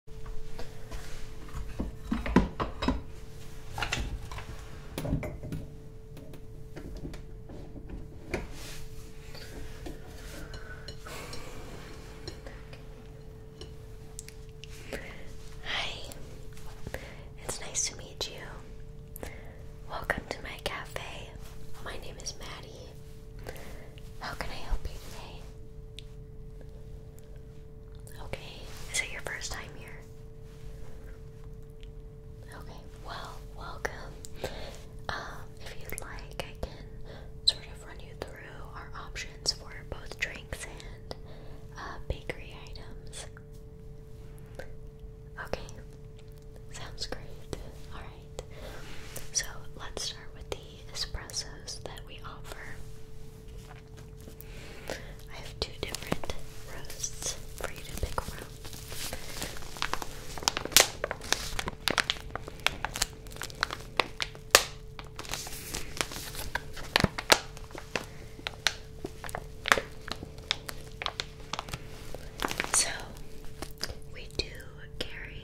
Hi, it's nice to meet you. Welcome to my cafe. My name is Maddie. How can I help you today? Okay, is it your first time here? Okay, well, welcome. Um, if you'd like, I can sort of run you through our options for both drinks and uh, bakery items. Okay, sounds great. Alright, so let's start with the the espressos that we offer. I have two different roasts for you to pick from. So, we do carry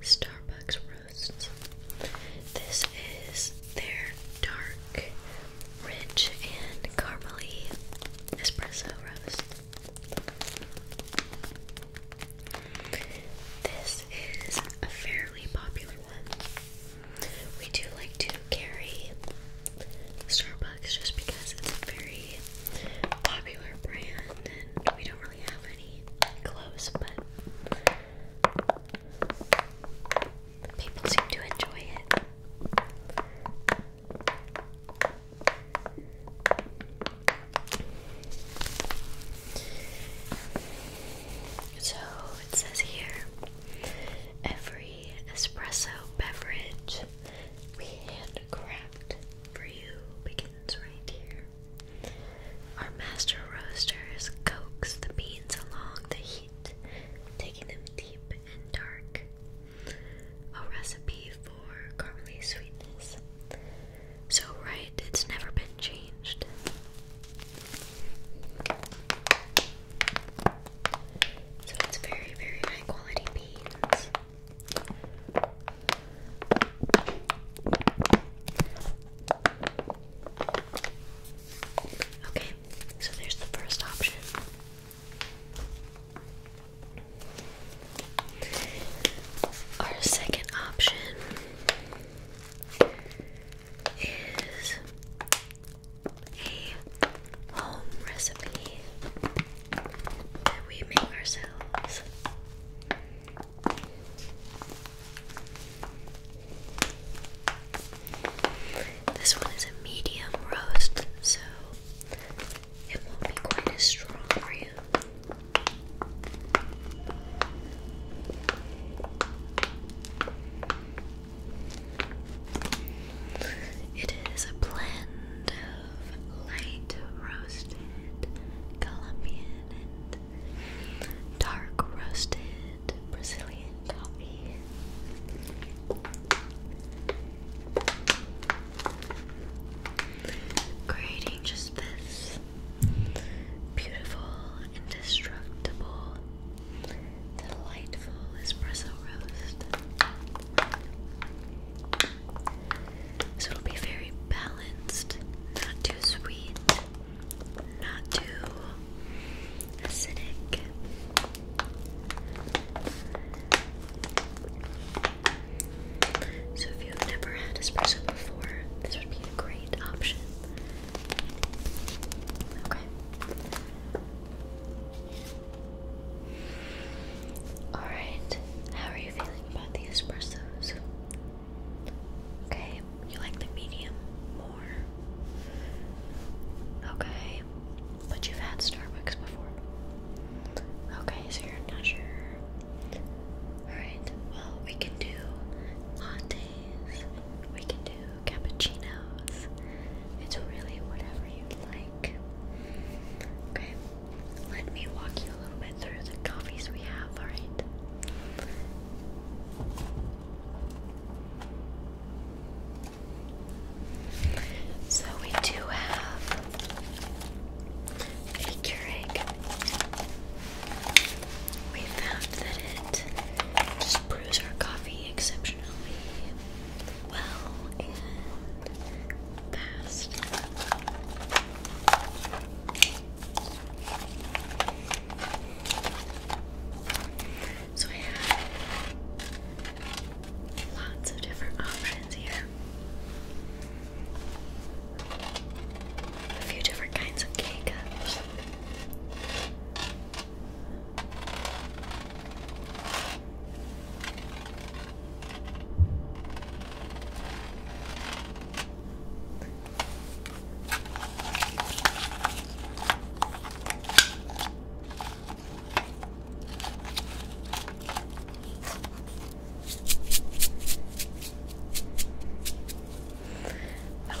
Starbucks Roasts. This is their dark, rich, and caramely espresso roast. This is a fairly popular one. We do like to carry Starbucks just because it's a very popular brand and we don't really have any close, but People seem to enjoy it. So it says here every espresso beverage we handcraft for you begins right here. Our master roasters coax the beans along the heat, taking them deep and dark. A recipe for caramely sweetness. So right, it's never been changed. So it's very, very high quality beans. Okay, so there's the first option. Our second option is a home recipe that we make ourselves. This one is a medium roast, so it won't be quite as strong for you. It is a blend of light roasted Colombian dark roasted Brazilian coffee. Creating just this beautiful, indestructible, delightful espresso roast. So it'll be very balanced, not too sweet, not too acidic. So if you've never had espresso before, this would be a great option. Okay. Alright, how are you feeling about the espressos? Okay, you like the medium more. Okay, but you've had Starbucks before. Okay, so you're not sure. Alright, well, we can do lattes, we can do cappuccinos. It's really whatever you like. Okay, let me walk you a little bit through the coffees we have, alright? So we do have a Keurig. We found that it just brews our coffee exceptionally well and fast. So I have lots of different options here. A few different kinds of cake cups.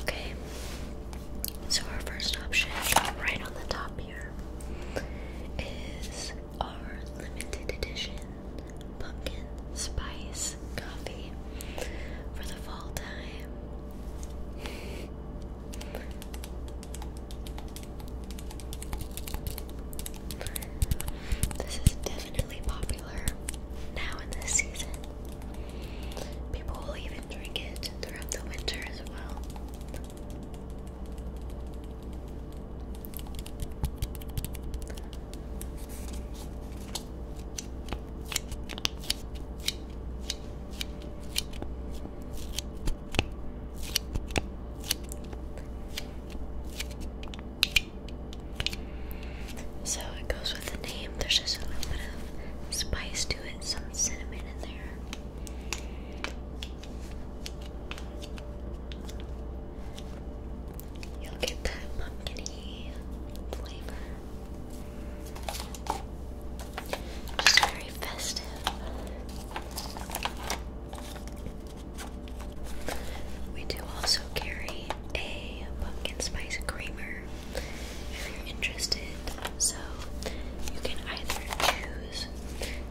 Okay, so our first option, right on the top here, is our limited edition pumpkin spice coffee for the fall time. This is definitely popular now in this season. People will even drink it throughout the winter as well. So it goes with the name. There's just a little bit of spice to it, some cinnamon in there. You'll get that pumpkin flavor. Just very festive. We do also carry a pumpkin spice creamer if you're interested. So you can either choose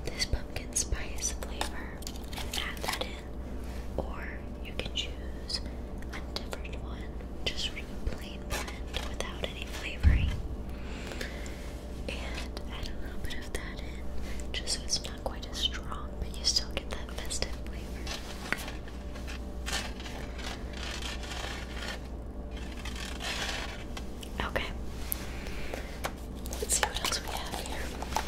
this pumpkin spice flavor and add that in or you can choose a different one, just sort of a plain blend without any flavoring. And add a little bit of that in, just so it's not quite as strong, but you still get that festive flavor. Okay. Let's see what else we have here.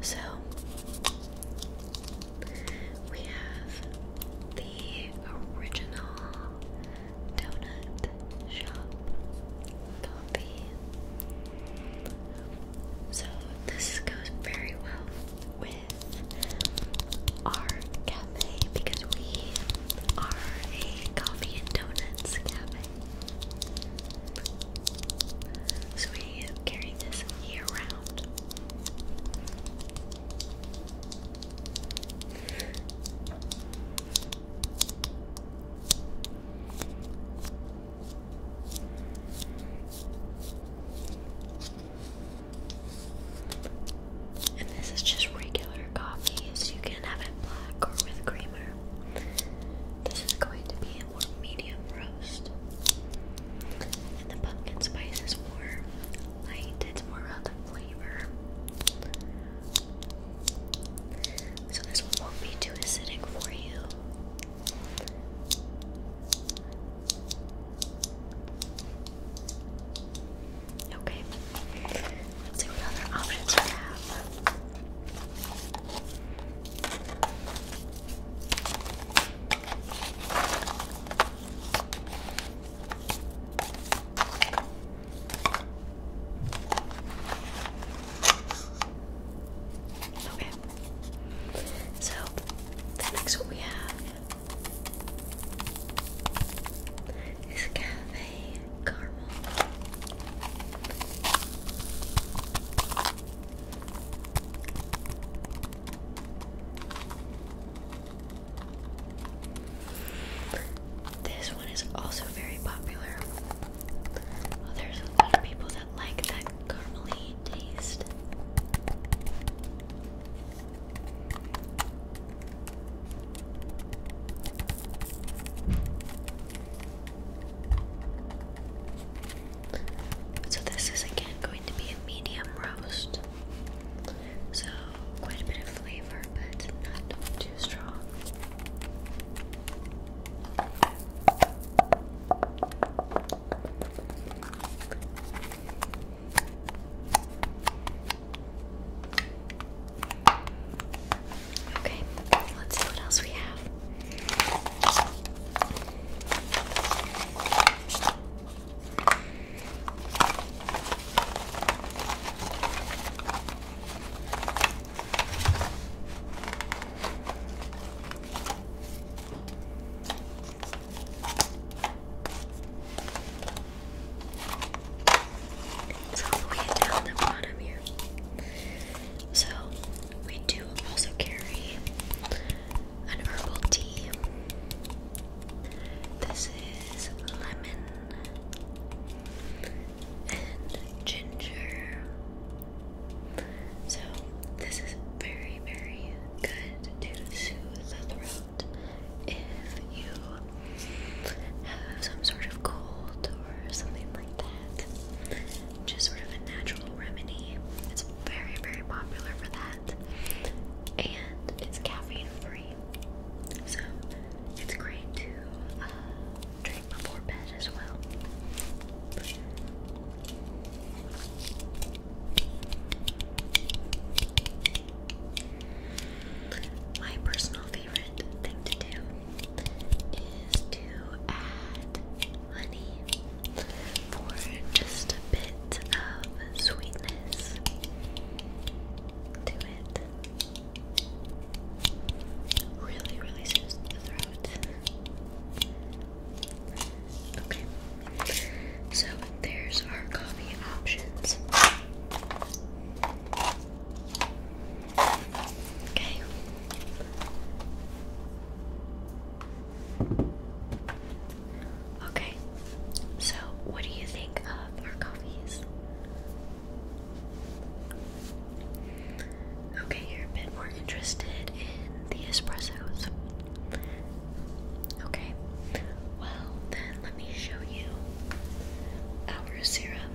So we have the original donut shop coffee. So this goes very well with our cafe because we are a coffee and donuts cafe. So we carry this year round. And this is just regular coffee, so you can have it black or with creamer. This is going to be a medium roast. And the pumpkin spice is more light, it's more about the flavor. So this one won't be too acidic for you. Okay let what we have. Okay. So, the next one we have is Cafe caramel. This one is also very popular. there's a lot of people that like that caramely taste. So, this is again going to be a medium roast. So, quite a bit of flavor, but not too strong. Okay, let's see what else we have. It's all the down the bottom here. So we do also carry an herbal tea. This is lemon and ginger. So this is very, very good to soothe the throat if you have some sort of cold or something like that. Just sort of a natural remedy. It's very, very popular for that. And it's caffeine free. So it's great to uh, drink before bed as well. My personal favorite thing to do is to add honey for just a bit of sweetness to it. Really, really soothes the throat. Okay, so there's our coffee options. Okay. Okay. So, what do you think of our coffees? Okay, you're a bit more interested in the espressos. Okay. Well, then let me show you our syrup.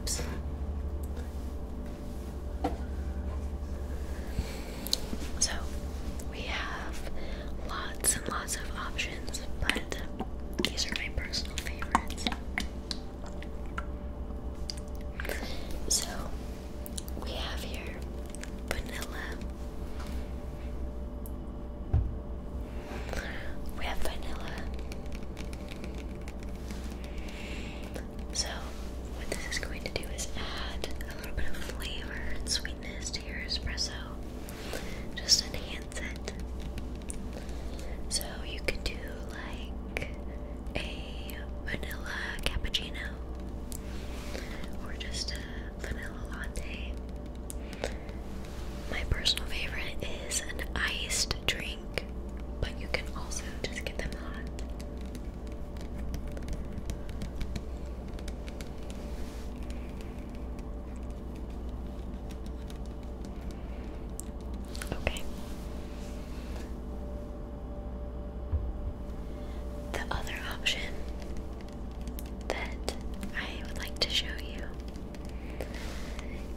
So we have lots and lots of options, but these are my personal favorites. So we have here vanilla. We have vanilla. So, what this is going to do is add a little bit of flavor and sweetness to your espresso. Just enhance it. So, you could do like a vanilla cappuccino or just a vanilla latte. My personal favorite is an iced drink but you can also just get them hot. Okay. The other option that I would like to show you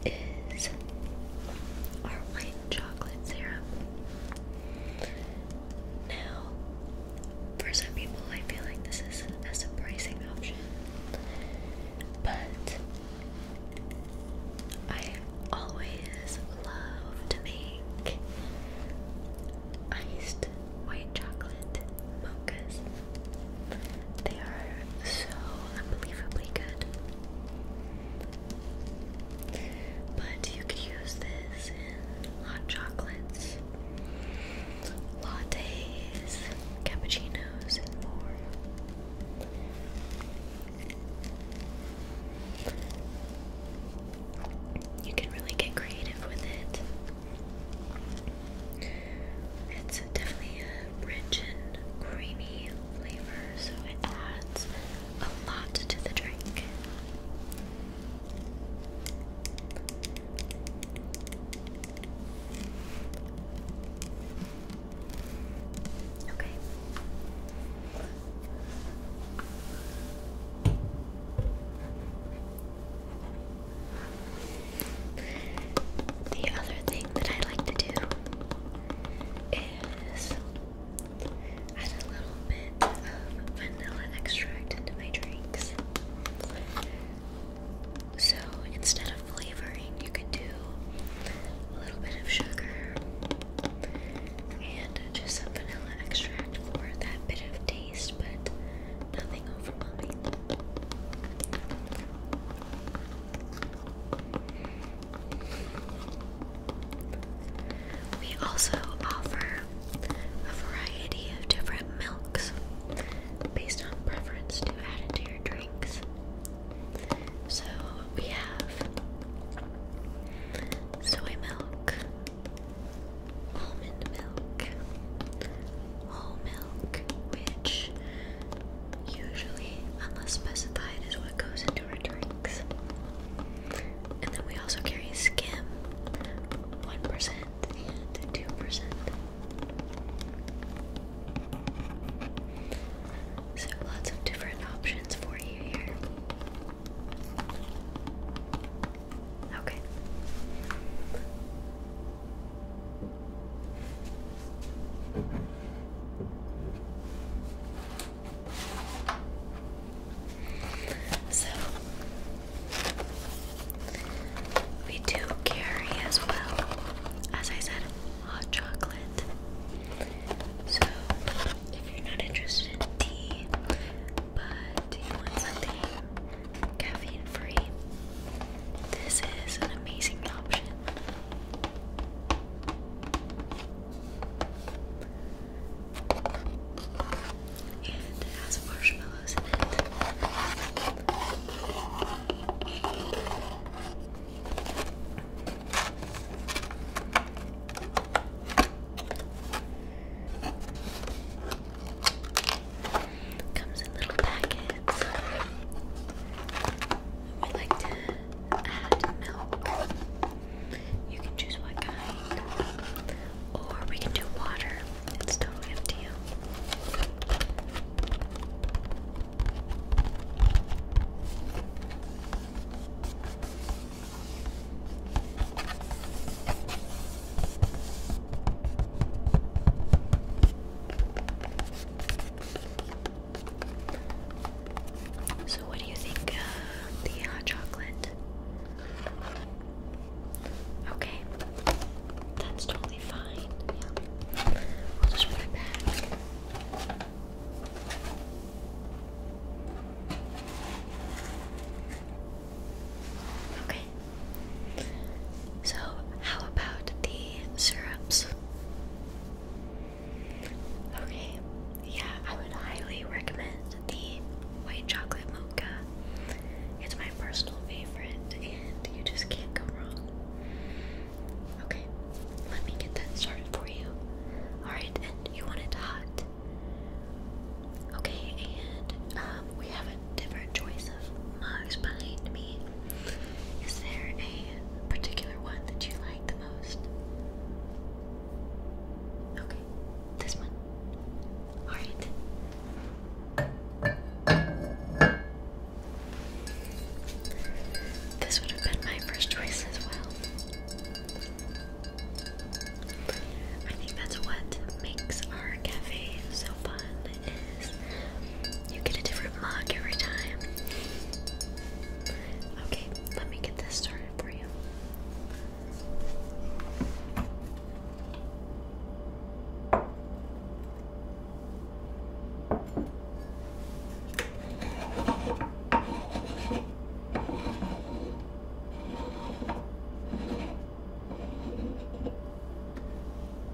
is our white chocolate syrup. Now, for some people, I feel like this is a surprising option, but I always love to make iced white chocolate mochas. They are so unbelievably good. But you could use this in hot chocolates, lattes, cappuccinos, and more. You can really get creative with it. It's definitely a rich and creamy flavor, so it adds a lot to the drink. Okay the other thing that I like to do is add a little bit of vanilla extract into my drinks. So instead of flavoring, you could do a little bit of sugar and just some vanilla extract for that bit of taste, but nothing overwhelming. We also offer a variety of different milks based on preference to add into your drinks. So we have soy milk, almond milk, whole milk, which usually, unless specified, is what goes into our drinks. And then we also carry skim 1% and 2%. So lots of different options for you here. Okay. So we do carry as well, as I said, hot chocolate. So if you're not interested in tea, but you want something caffeine free, this is an amazing option it has marshmallows Comes in little packets. We like to add milk. You can choose what kind. Or we can do water. It's totally up to you. So, what do you think of the hot uh, chocolate? Okay, that's totally fine. Yeah, will just put it back. Okay. So, how about the syrups? Okay, yeah, I would highly recommend the white chocolate mocha. It's my personal favorite, and you just can't go wrong. Okay, let me get that started for you. Alright, and you want it hot. Okay, and um, we have a different choice of mugs behind me. Is there a particular one that you like the most? Okay, this one. Alright. This would have been my first choice as well. I think that's what makes our cafe so fun you get a different mug every time. Okay, let me get this started for you.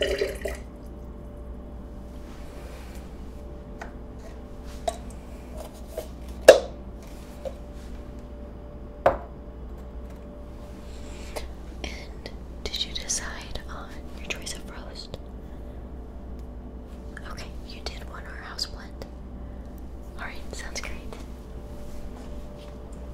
And did you decide on your choice of roast? Okay, you did one or house blend. Alright, sounds great.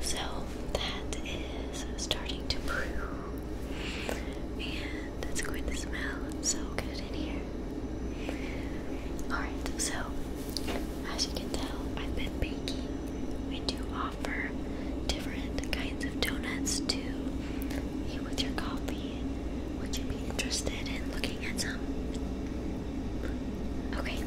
So that is starting to brew, and it's going to smell so good in here. Alright, so as you can tell, I've been baking. We do offer different kinds of donuts to eat with your coffee. Would you be interested in looking at some? Okay,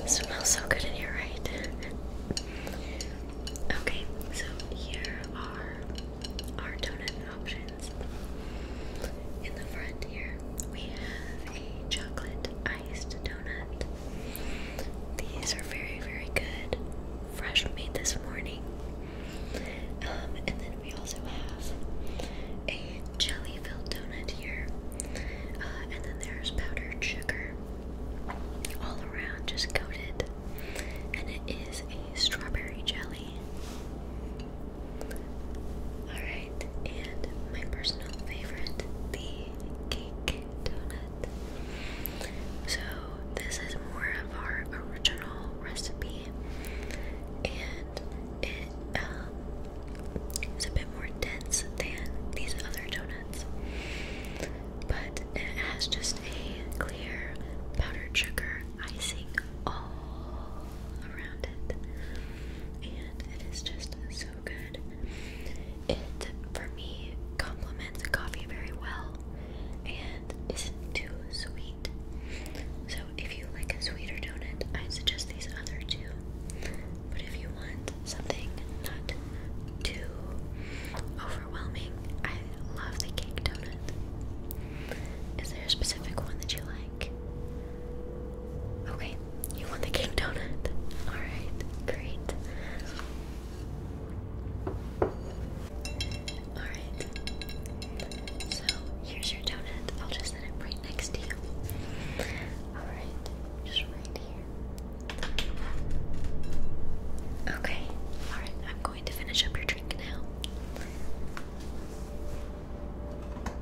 it smells so good in here, right? okay, so here are our donut options. In the front here, we have a chocolate iced donut. These are very, very good. Fresh made this morning. Um, and then we also have a jelly filled donut here. Uh, and then there's powdered sugar all around, just coated. And it is a strawberry jelly. Alright and my personal favorite, the cake donut. So, this is more of our original recipe, and it um, is a bit more dense than these other donuts, but it has just a clear powdered sugar icing all around it, and it is just so so good. It, for me, complements coffee very well and isn't too sweet. So, if you like a sweeter donut, I suggest these other two. But if you want something not too overwhelming, I love the cake donut. Is there a specific one that you like? Okay, you want the king donut? Alright, great. Alright, so here's your donut. I'll just set it right next to you. Alright, just right here. Okay, alright, I'm going to finish up your drink now.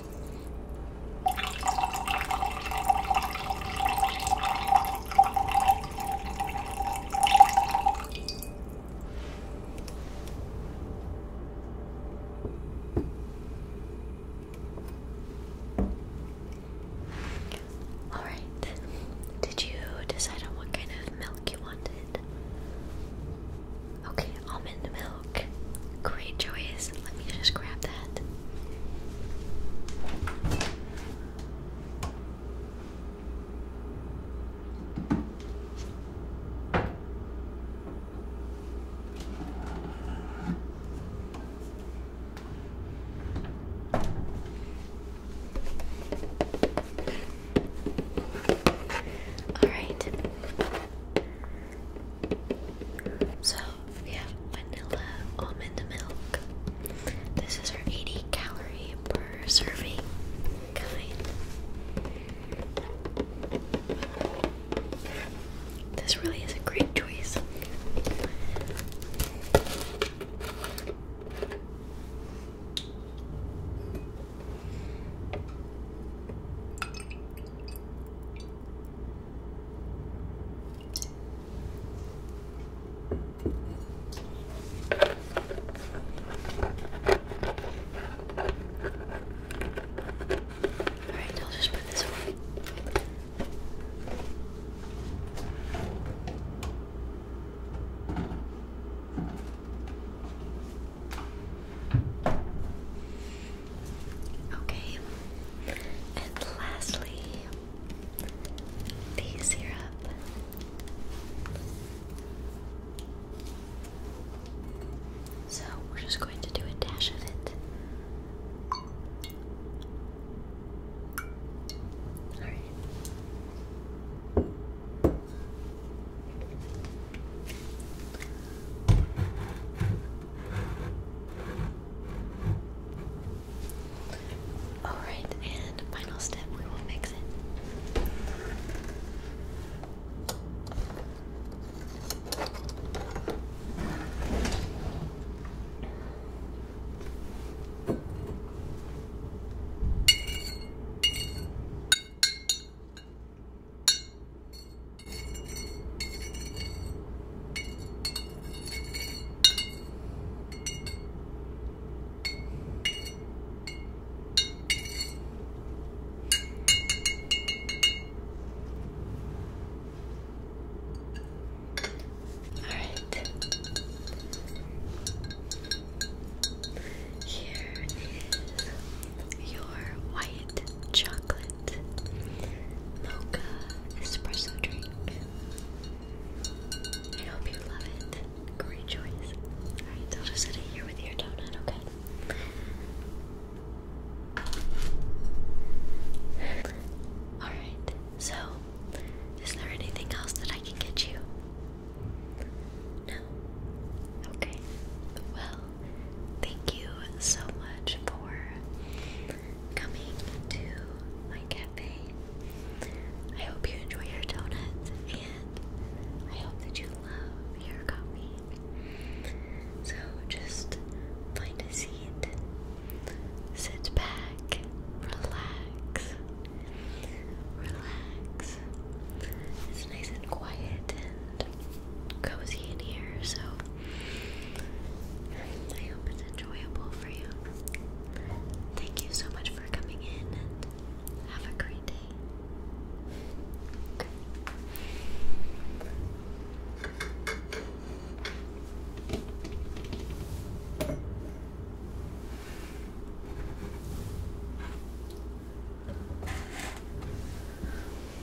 All right. Did you decide on what kind of milk you wanted? Okay, almond milk. Great choice. Let me just grab that. All right. So we have vanilla almond milk. This is our 80 calorie per serving kind. This really is a great choice. Alright, I'll just put this away. Okay, and lastly, the syrup. So we're just going to do a dash of it. Alright. Alright, and final step, we will mix it. Alright. Here is your white chocolate mocha espresso drink. I hope you love it. Great choice. Alright, I'll here with your donut, okay? Alright, so is there anything else that I can get you? No? Okay. Well, Thank you so much for coming to my cafe. I hope you enjoy your donuts and I hope that you love your coffee. So just find a seat, sit back, relax, relax. It's nice and quiet and cozy in here, so I hope it's enjoyable for you. Thank you so much for coming in and have a great day. Okay.